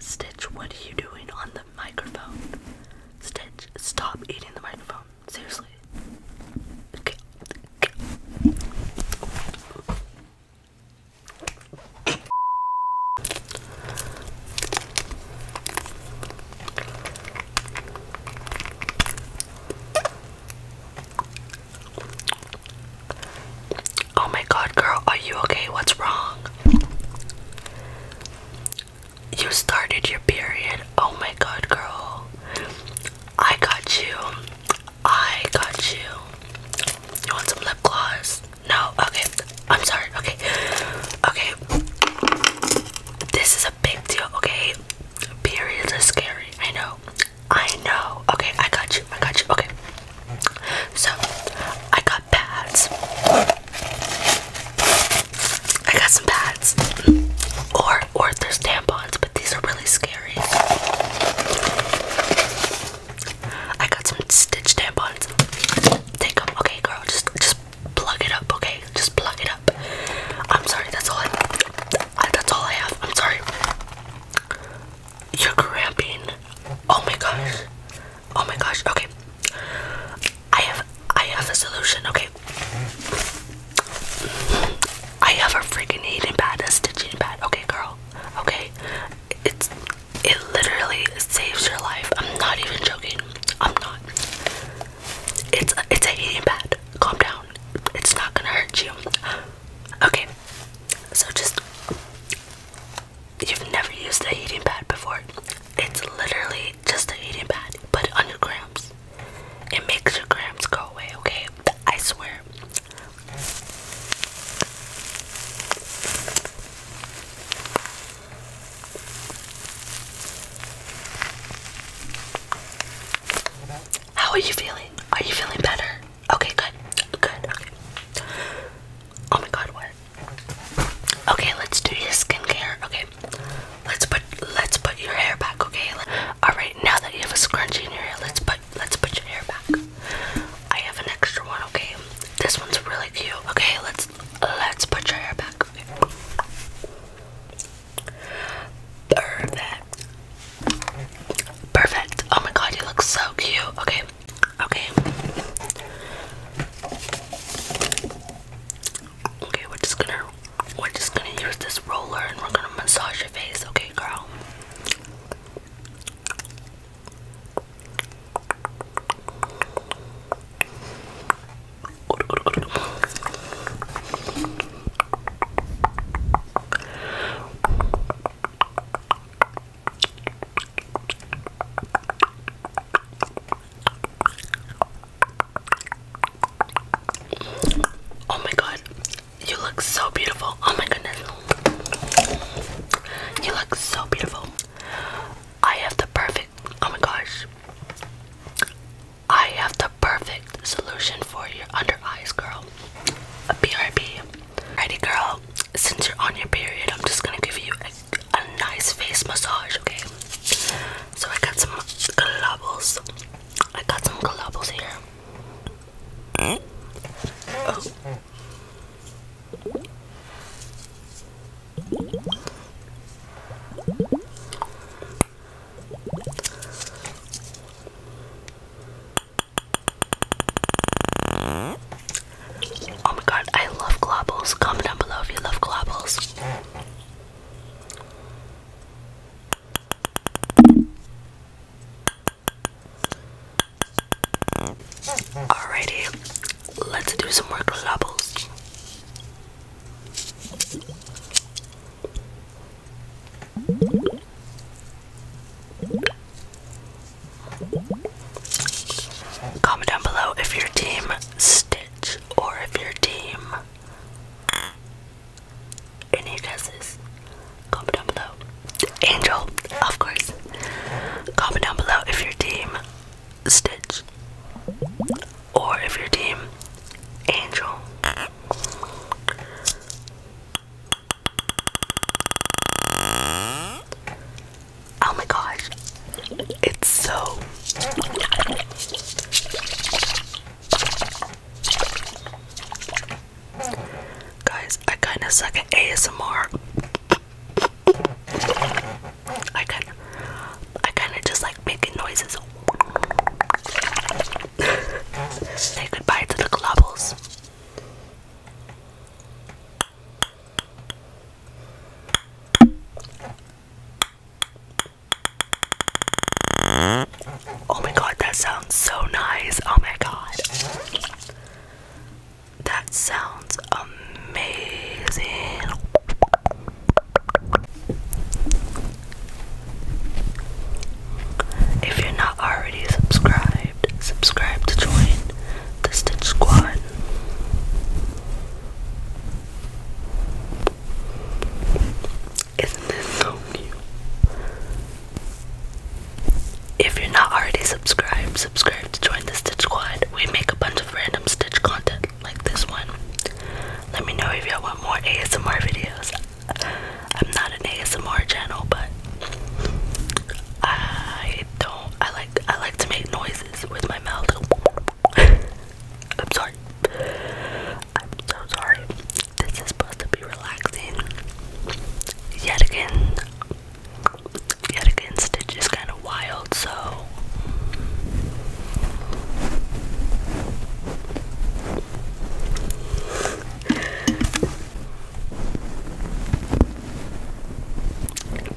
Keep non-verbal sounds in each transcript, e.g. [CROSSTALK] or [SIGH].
Stitch, what are you doing on the microphone? Stitch, stop eating the microphone. Seriously. Oh my god, girl, are you okay? What's wrong? You started your period. Oh my god, girl. I got you. I got you. You want some lip gloss? No? Okay. I'm sorry. Okay. Okay. This is a big deal, okay? Periods are scary. I know. I know. Okay, I got you. I got you. Okay. So, I got pads. I got some pads. Or or there's tampons, but these are really scary. I got some stitch tampons. Take them. Okay, girl, just just plug it up, okay? Just plug it up. I'm sorry, that's all I, that's all I have. I'm sorry. You're cramping. Oh my gosh. Oh my gosh. Okay. I have I have a solution. Okay. I have a freaking eating pad, a stitching pad. Okay, girl. Okay. It's it literally saves your life. I'm not even joking. I'm not. It's a, it's a heating pad. Calm down. It's not gonna hurt you. Okay. So just you've never used a heating pad before. It's literally just a heating pad. Put it on your cramps. It makes your cramps go away. Okay. I swear. How are you feeling? Are you feeling better? Okay, good. Good. Okay. Oh my god, what? Okay, let's do your skincare. Okay. Let's put let's put your hair back, okay? Alright, now that you have a scrunchie in your hair, let's put let's put your hair back. I have an extra one, okay? This one's really cute. Okay, let's let's put your hair back. Perfect. Perfect. Oh my god, you look so cute. Okay. Okay. Okay, we're just gonna we're just gonna use this roller and we're gonna massage your face, okay girl. Oh my god, you look so beautiful. Oh my goodness. You look so beautiful. I have the perfect, oh my gosh. I have the perfect solution for your under eyes, girl. A BRB. Alrighty, girl, since you're on your period, I'm just gonna give you a, nice face massage, okay? So I got some globbles. I got some globbles here. Mm. Oh. Oh my god, I love globbles. Comment down below if you love globbles. Alrighty, let's do some more globbles. Comment down below if your team Stitch or if your team any guesses. Comment down below. Angel, of course. Comment down below if your team Stitch or if your team Angel. Oh my gosh, it's so. Guys, I kind of suck at ASMR. I kind I kind of just like making noises. Say goodbye to the globbles. Oh my god, that sounds so nice. Oh my god. That sounds amazing. If you're not already subscribed, subscribe to join the Stitch Squad. Isn't this so cute? If you're not already subscribed, subscribe to join the Stitch Squad. We make a bunch of random Stitch content like this one. Let me know if y'all want more ASMR videos. I'm not an ASMR channel, but I don't. I like I like to make noises with my mouth. [LAUGHS] I'm sorry. I'm so sorry. This is supposed to be relaxing. Yet again, yet again, Stitch is kind of wild, so.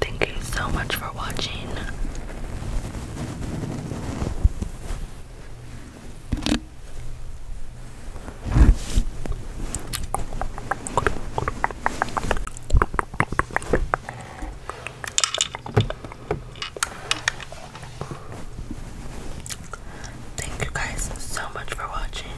Thank you so much for watching. Thank you guys so much for watching.